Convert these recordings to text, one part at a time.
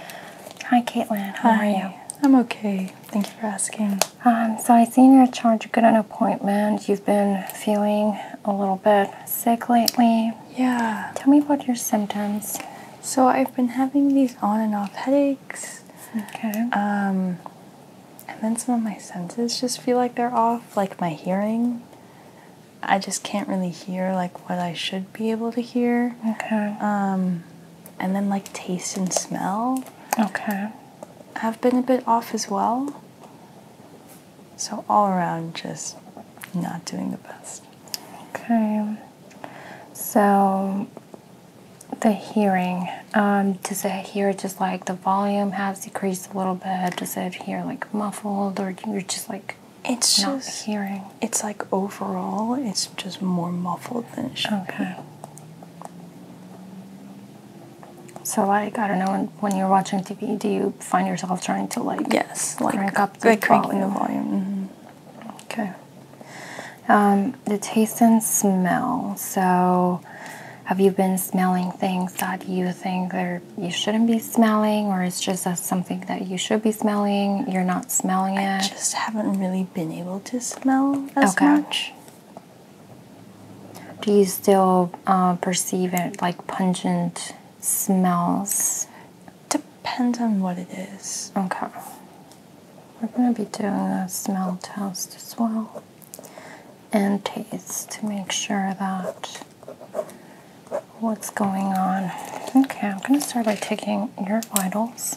Hi, Caitlin. How Hi. are you? I'm okay. Thank you for asking. Um, so I seen your chart. You got an appointment. You've been feeling a little bit sick lately. Yeah. Tell me about your symptoms. So I've been having these on and off headaches. Okay. Um, and then some of my senses just feel like they're off, like my hearing. I just can't really hear like what I should be able to hear. Okay. Um, and then like taste and smell. Okay. Have been a bit off as well. So all around just not doing the best. Okay. So the hearing, um, does it hear just like the volume has decreased a little bit? Does it hear like muffled or you're just like it's not hearing? It's like overall, it's just more muffled than it should okay. be. So, like, I don't know, when, when you're watching TV, do you find yourself trying to, like, yes, like, crank up the volume? Mm-hmm. Okay. Um, the taste and smell. So, have you been smelling things that you think you shouldn't be smelling, or is just something that you should be smelling? You're not smelling it? I just haven't really been able to smell as okay. Do you still uh, perceive it like pungent smells? Depends on what it is. Okay. We're going to be doing a smell test as well and taste to make sure that what's going on. Okay, I'm going to start by taking your vitals.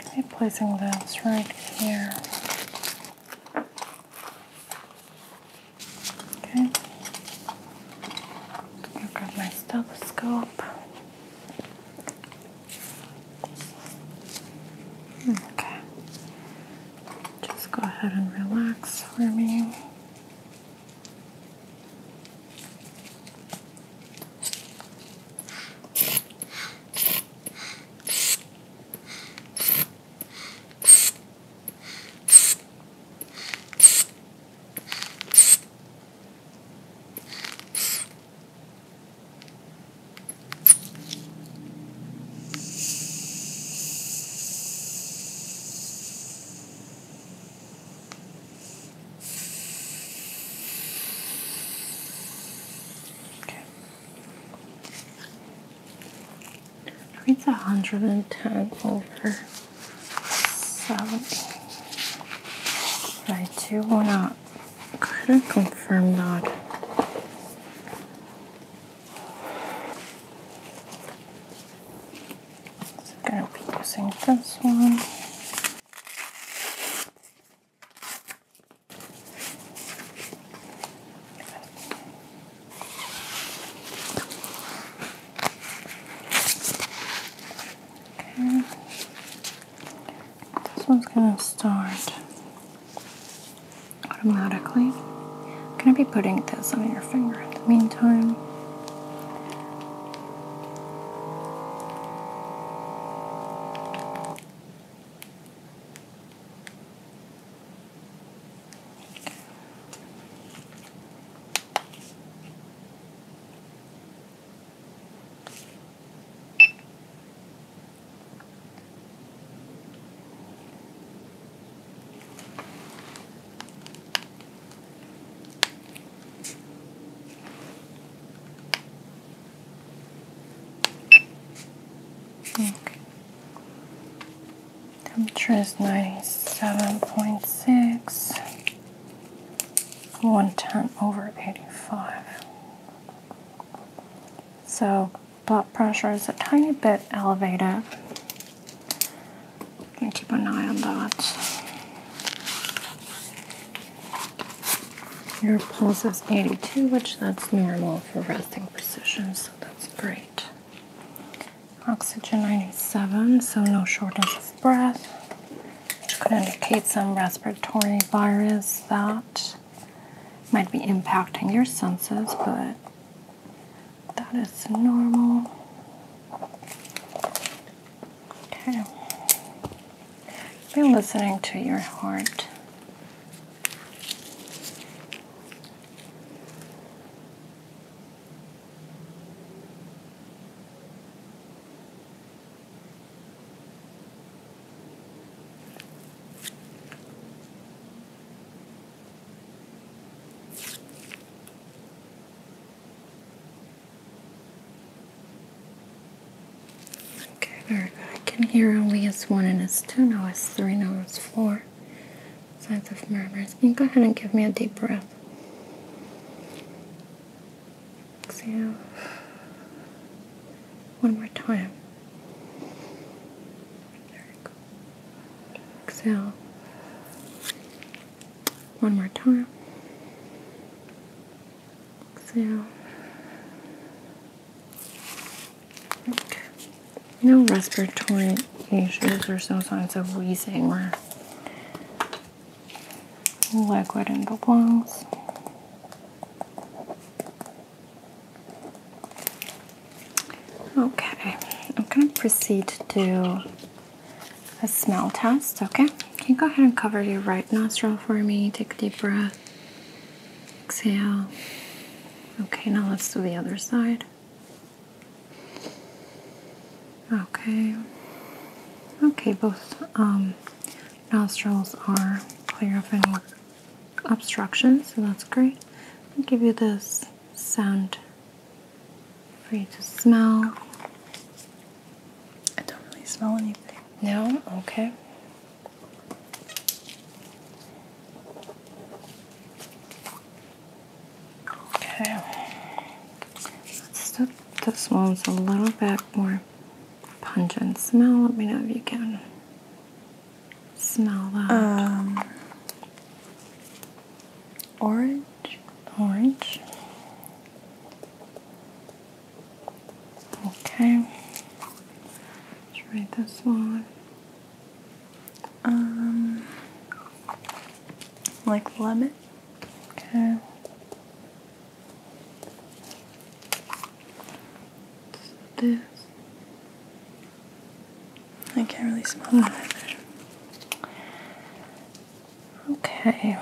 Okay, placing those right here. Okay, I've got my stethoscope. Okay. Just go ahead and relax for me. Okay. It's a hundred and ten over seventy. I do want to kind of confirm that. I'm going to be using this one. Okay. This one's gonna start automatically. I'm gonna be putting this on your finger in the meantime. Okay. Temperature is ninety seven point six. 110 over 85. So blood pressure is a tiny bit elevated. Can keep an eye on that. Your pulse is 82, which that's normal for resting position, so that's great. Oxygen 97, so no shortness breath, could indicate some respiratory virus that might be impacting your senses, but that is normal. Okay. Be listening to your heart. Okay, very good. I can hear only S1 and S2, now S3, now S4. Signs of murmurs. Can you go ahead and give me a deep breath? Exhale. One more time. There we go. Exhale. One more time. Exhale. Okay. No respiratory issues or no signs of wheezing liquid in the lungs. Okay, I'm gonna proceed to do a smell test. Okay, can you go ahead and cover your right nostril for me? Take a deep breath, exhale. Okay, now let's do the other side. Okay, okay, both um, nostrils are clear of any obstruction, so that's great. I'll give you this sound for you to smell. I don't really smell anything. No? Okay. Okay. Let's do this one's a little bit more pungent smell. Let me know if you can smell that. Um, orange. Orange. Okay. Try this one. Um, like lemon. Okay this. I can't really smell that either. Okay. okay.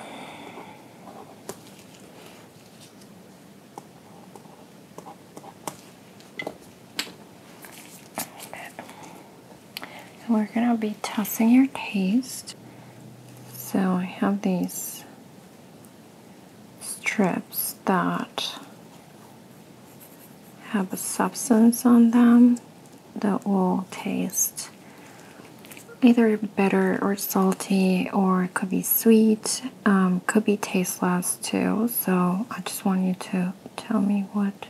We're gonna be testing your taste. So I have these strips that have a substance on them that will taste either bitter or salty or it could be sweet um, could be tasteless too so i just want you to tell me what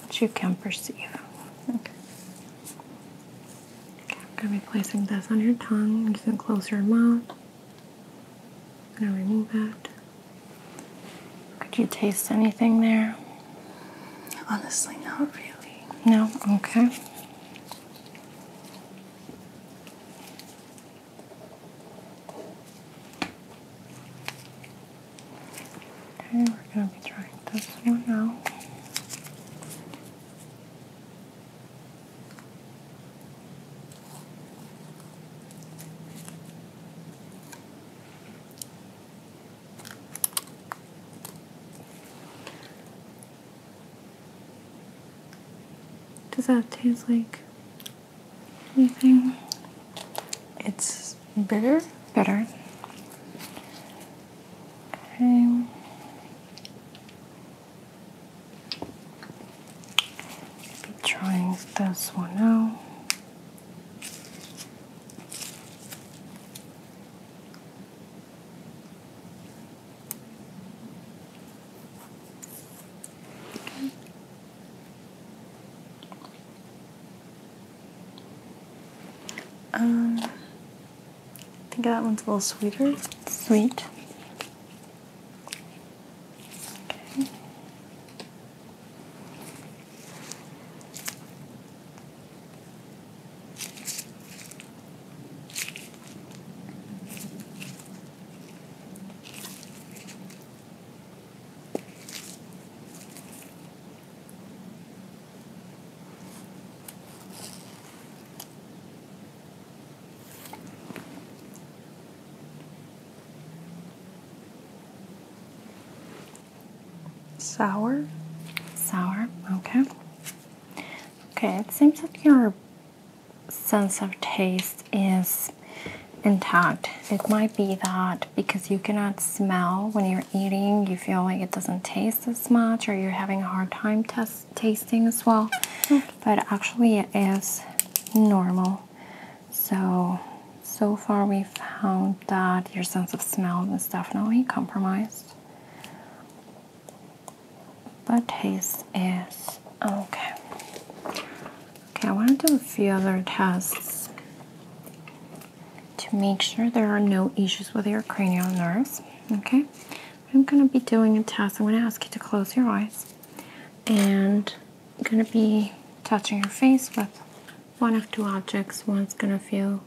but you can perceive. Okay. okay I'm going to be placing this on your tongue. You can close your mouth. i going to remove that. Could you taste anything there? Honestly, not really. No? Okay. Okay, we're going to be trying this one now. Does that taste like anything? It's bitter. Bitter. Okay. Be trying this one now. Um, I think that one's a little sweeter. Sweet. Okay. Sour? Sour, okay. Okay, it seems that your sense of taste is intact. It might be that because you cannot smell when you're eating, you feel like it doesn't taste as much, or you're having a hard time tasting as well. But actually, it is normal. So, so far, we found that your sense of smell is definitely compromised, but taste is okay. Okay, I want to do a few other tests to make sure there are no issues with your cranial nerves. Okay, I'm going to be doing a test. I'm going to ask you to close your eyes and I'm going to be touching your face with one of two objects. One's going to feel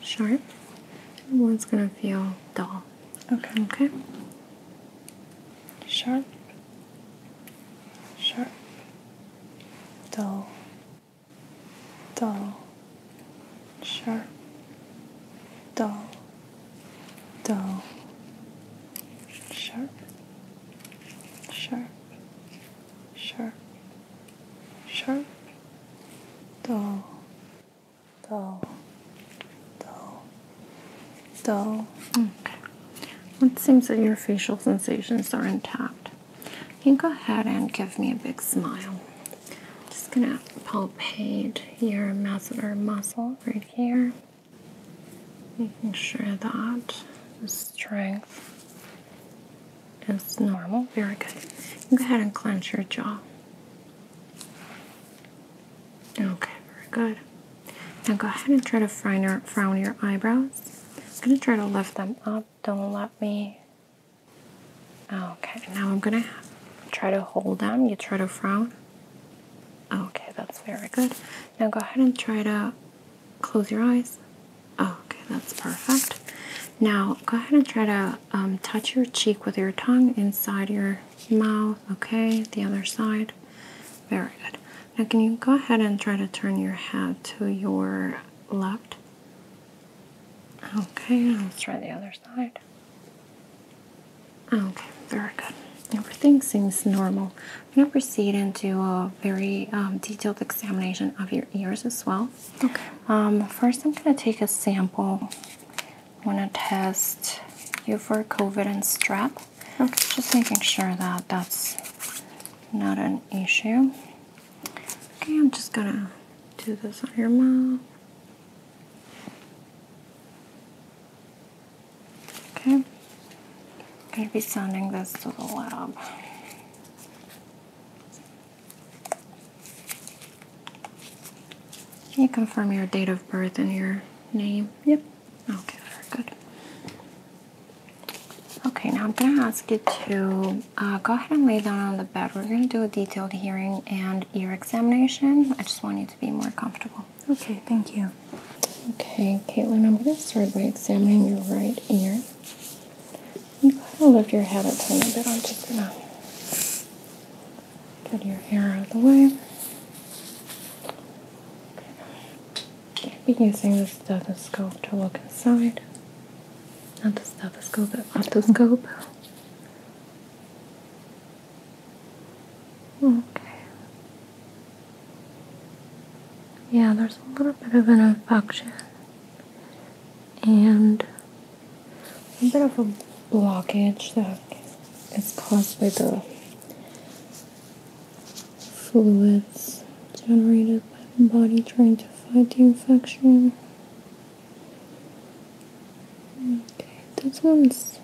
sharp and one's going to feel dull. Okay. Okay. Sharp, sharp, dull, dull, sharp, dull, dull, sharp, sharp, sharp, sharp, dull, dull, dull, dull. Hmm. It seems that your facial sensations are intact. You can go ahead and give me a big smile. Just gonna palpate your masseter muscle right here, making sure that the strength is normal. Very good. go ahead and clench your jaw. Okay, very good. Now go ahead and try to frown your eyebrows. I'm gonna try to lift them up. Don't let me Okay, now I'm gonna try to hold them. You try to frown. Okay, that's very good. Now go ahead and try to close your eyes. Okay, that's perfect. Now go ahead and try to um, touch your cheek with your tongue inside your mouth. Okay, the other side. Very good. Now, can you go ahead and try to turn your head to your left? Okay, let's try the other side. Okay, very good. Everything seems normal. I'm going to proceed into a very um, detailed examination of your ears as well. Okay. Um, first, I'm going to take a sample. I want to test you for COVID and strap. Okay. Just making sure that that's not an issue. Okay, I'm just going to do this on your mouth. Okay, I'm going to be sending this to the lab. Can you confirm your date of birth and your name? Yep. Okay, very good. Okay, now I'm going to ask you to uh, go ahead and lay down on the bed. We're going to do a detailed hearing and ear examination. I just want you to be more comfortable. Okay, thank you. Okay, Caitlin, I'm going to start by examining your right ear. You kind to lift your head up a little bit. I'm just going to get your hair out of the way. I'll be using the stethoscope to look inside. Not the stethoscope, the otoscope. Okay. Yeah, there's a little bit of an infection and a bit of a blockage that is caused by the fluids generated by the body trying to fight the infection. Okay, this one's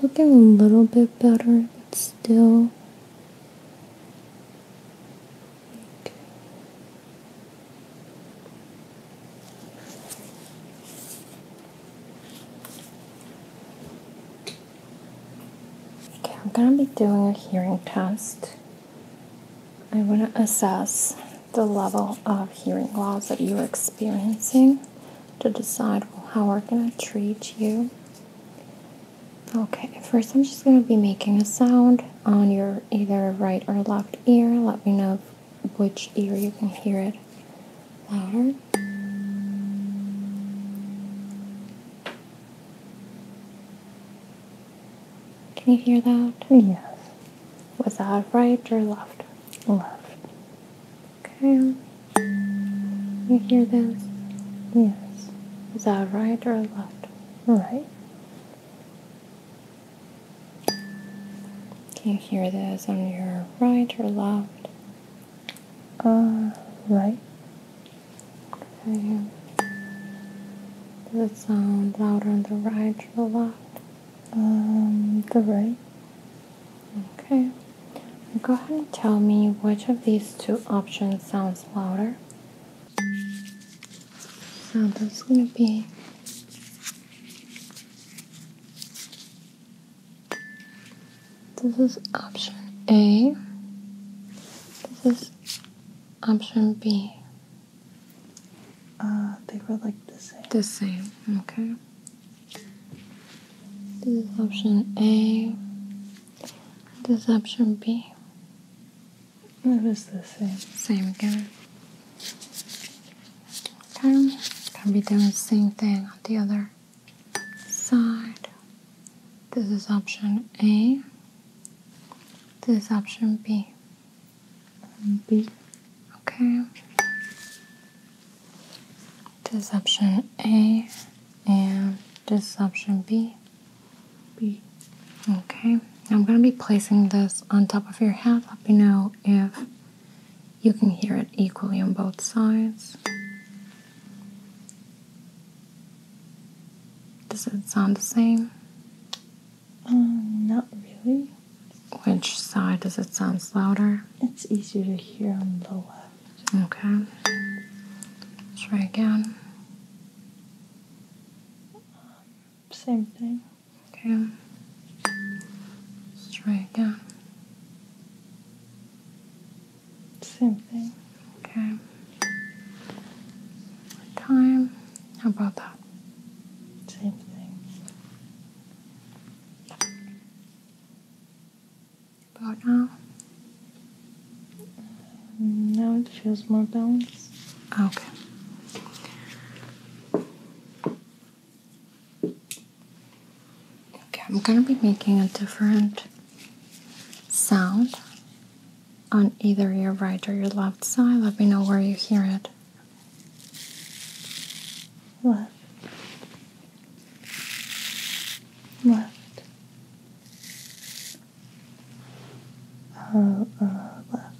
looking a little bit better, but still. Okay. I'm gonna be doing a hearing test. I want to assess the level of hearing loss that you're experiencing to decide how we're going to treat you. Okay, first I'm just going to be making a sound on your either right or left ear. Let me know which ear you can hear it louder. Can you hear that? Yes without right or left. Left. Okay. You hear this? Yes. Is that right or left? Right. Can you hear this on your right or left? Uh, right. Okay. Does it sound louder on the right or the left? Um, the right. Okay. Go ahead and tell me which of these two options sounds louder. So that's going to be this is option A. This is option B. Uh, they were like the same. The same, okay. This is option A. This is option B. It the same. Same again. Okay. Gonna be doing the same thing on the other side. This is option A. This is option B. B. Okay. This A and this B. B. Okay. I'm going to be placing this on top of your head. Let me know if you can hear it equally on both sides. Does it sound the same? Um, not really. Which side does it sound louder? It's easier to hear on the left. Okay. try again. same thing. Okay. Let's try again. Same thing. Okay. Time. How about that? Same thing. About now? Mm, now it feels more balanced. Okay. Okay, I'm gonna be making a different sound on either your right or your left side. Let me know where you hear it left, left, uh, left,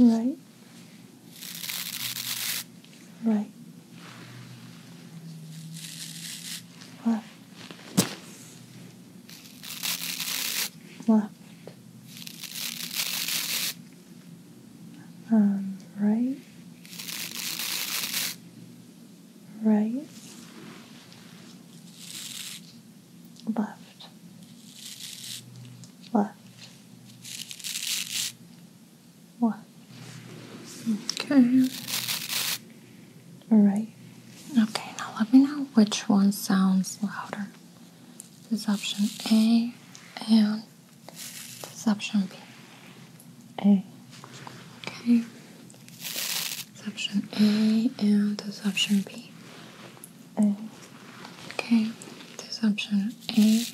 right, right, left, left, um, Right. rice, left, left, left. Okay. Right. Okay, now let me know which one sounds louder. This is option A and this option B. A. Okay. option A and this option B. A. Okay. This option A.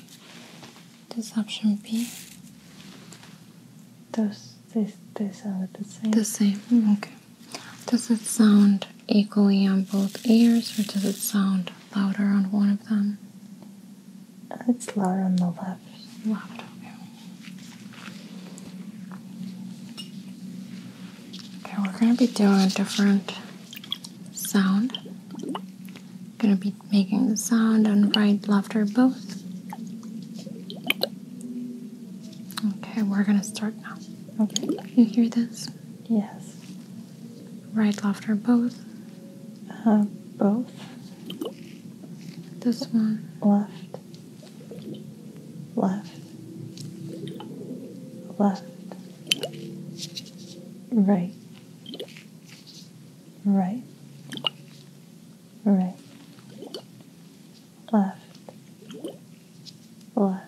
This option B. Those this they sound the same. The same. Okay. Does it sound equally on both ears or does it sound louder on one of them? It's louder on the left. okay. we're gonna be doing a different sound. Gonna be making the sound on right, left, or both. Okay, we're gonna start now. Okay. You hear this? Yes. Right, left, or both? Uh, both. This one. Left. Left. Left. Right. Right. Right. Left. Left.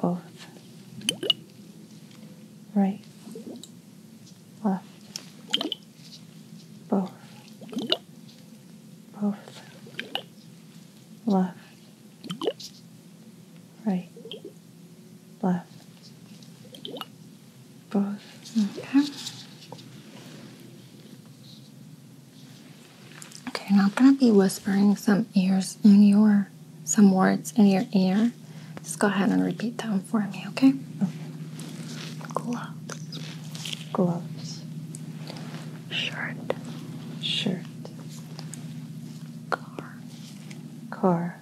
Both right, left, both, both, left, right, left, both. Okay. Okay, now I'm going to be whispering some ears in your some words in your ear, just go ahead and repeat them for me, okay? okay. Gloves, gloves, shirt, shirt, car, car,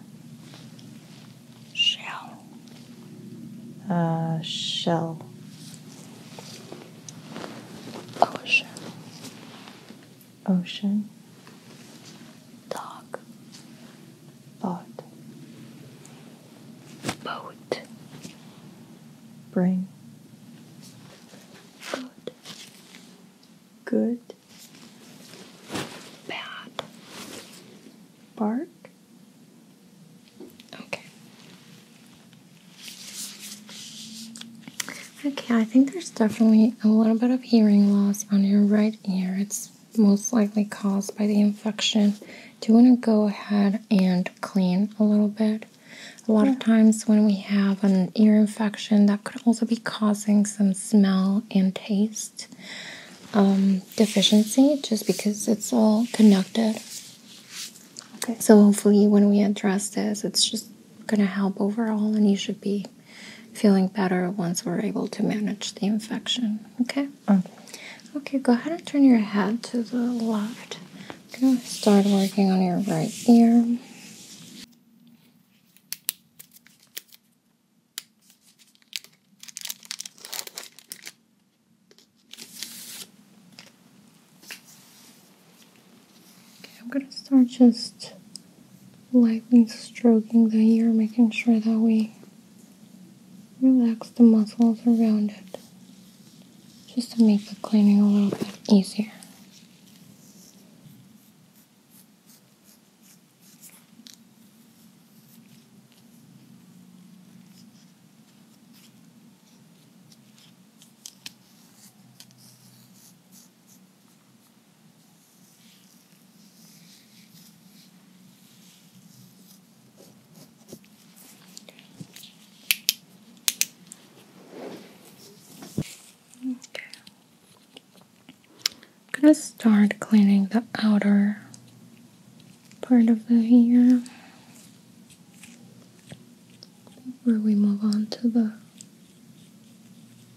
shell, uh, shell, ocean, ocean, dog, thought, boat, brain, good, good, bad, bark. Okay. Okay, I think there's definitely a little bit of hearing loss on your right ear. It's most likely caused by the infection. Do you want to go ahead and clean a little bit? A lot of times when we have an ear infection, that could also be causing some smell and taste um, deficiency just because it's all connected. Okay. So hopefully when we address this, it's just going to help overall and you should be feeling better once we're able to manage the infection. Okay? Mm. Okay. go ahead and turn your head to the left. start working on your right ear. Okay, I'm going to start just lightly stroking the ear, making sure that we relax the muscles around it just to make the cleaning a little bit easier. I'm gonna start cleaning the outer part of the ear, where we move on to the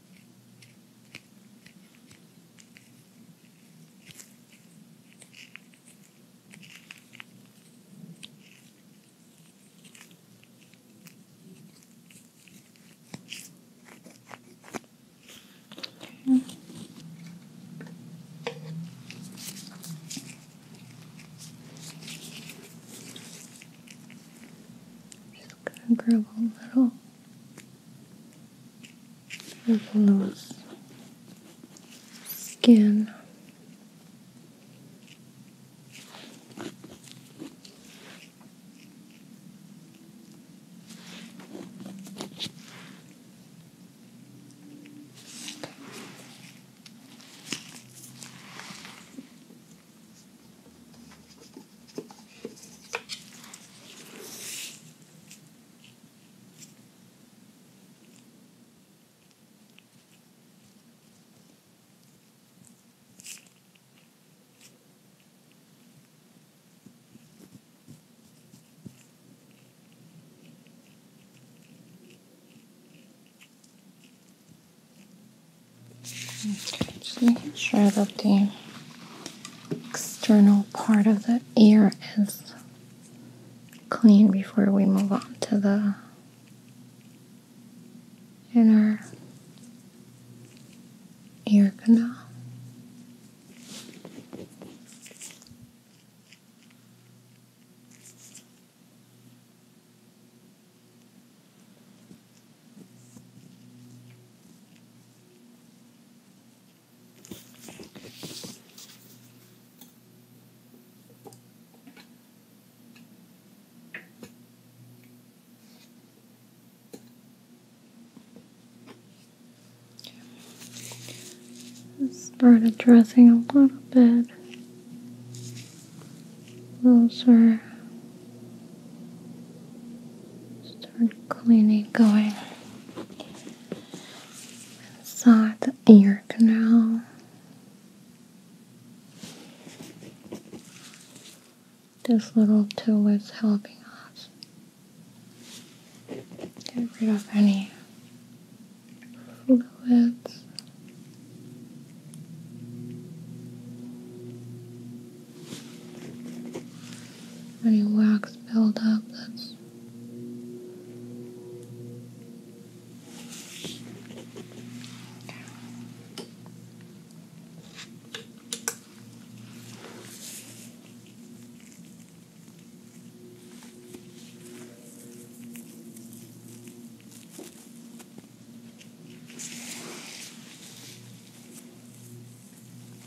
Okay. Just gonna grab a little of loose skin. Okay, so you can shred up the external part of the ear is clean before we move on to the inner ear canal. Start addressing a little bit closer Start cleaning, going inside the air canal. This little tool is helping us get rid of any fluids any wax buildup? that's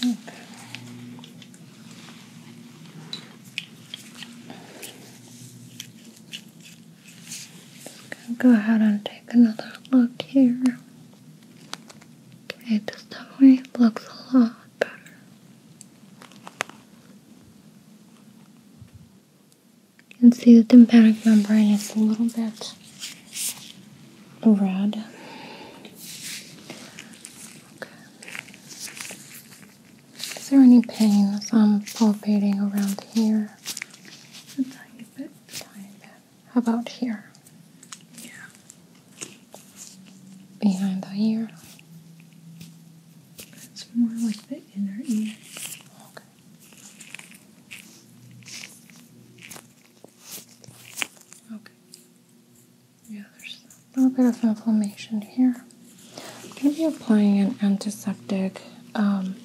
Okay. go ahead and take another look here. Okay, this definitely looks a lot better. You can see the tympanic membrane is a little bit red. Is there any pain as I'm palpating around here? A tiny bit. Tiny bit. How about here? Yeah. Behind the ear? It's more like the inner ear. Okay. Okay. Yeah, there's a little bit of inflammation here. I'm going to be applying an antiseptic um,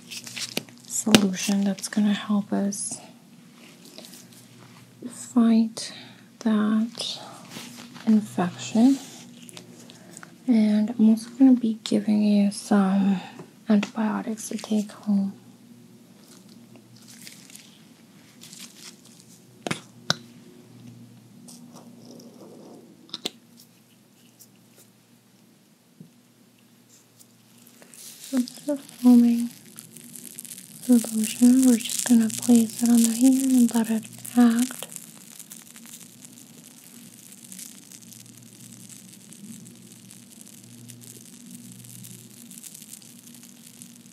solution that's going to help us fight that infection. And I'm also going to be giving you some antibiotics to take home. A bit foaming with We're just gonna place it on the hand and let it act.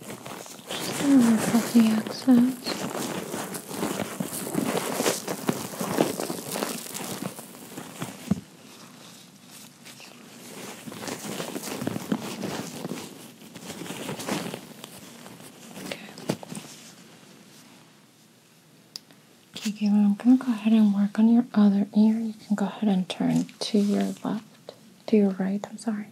Work off the excess. Okay. okay, I'm going to go ahead and work on your other ear. You can go ahead and turn to your left. To your right, I'm sorry.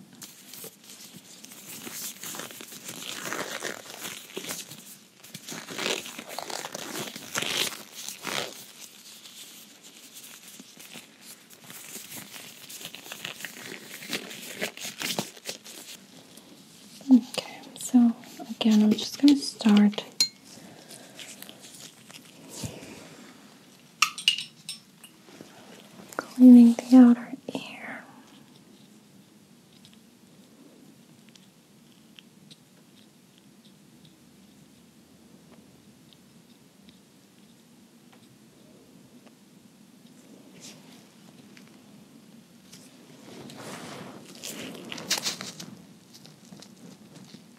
Okay, so again, I'm just going to start cleaning the outer ear.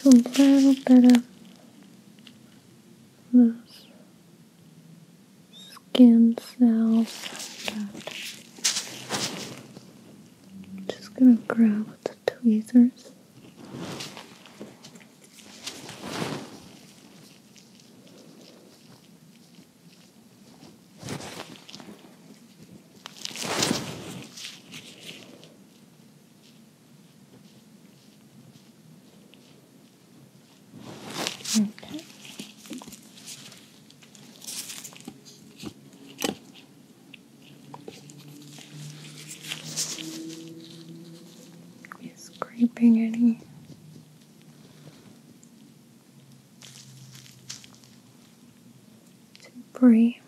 Some little bit of those skin cells I'm just gonna grab the tweezers. Okay. Is scraping any debris.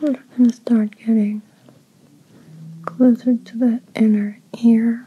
We're gonna start getting closer to the inner ear.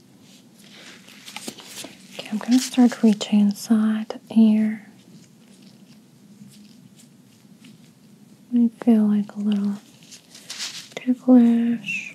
Okay, I'm gonna start reaching inside here. I feel like a little ticklish.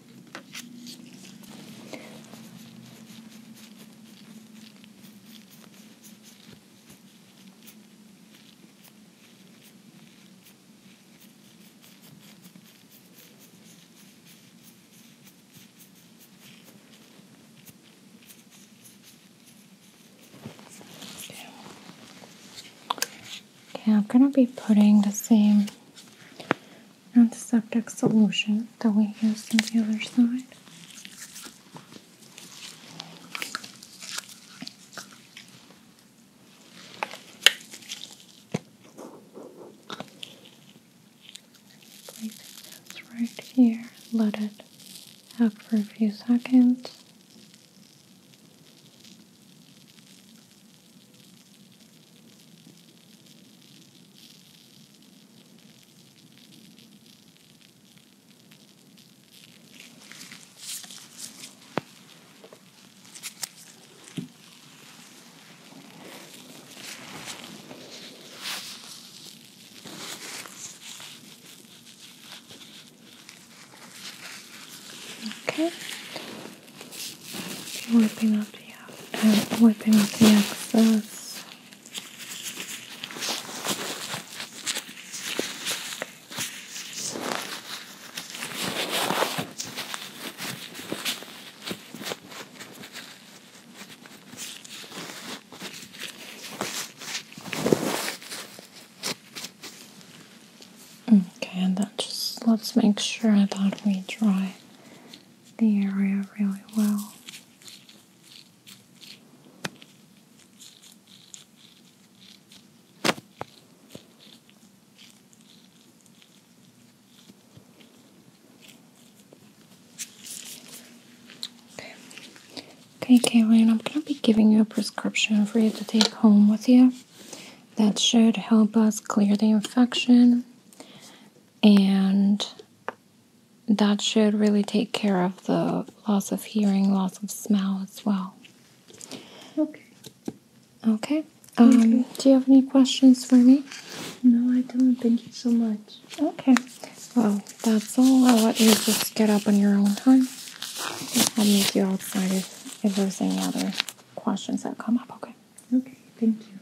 Okay, I'm going to be putting the same Antiseptic solution that we used on the other side. Placing this right here, let it up for a few seconds. Okay. you up and wiping off the excess. Okay, and then just let's make sure that we dry the area really well. Okay, okay, Kaylin, I'm gonna be giving you a prescription for you to take home with you. That should help us clear the infection and that should really take care of the loss of hearing, loss of smell as well. Okay. Okay. Um, do you have any questions for me? No, I don't. Thank you so much. Okay. Well, that's all. I'll let you just get up on your own time. I'll meet you outside if, if there's any other questions that come up. Okay. Okay. Thank you.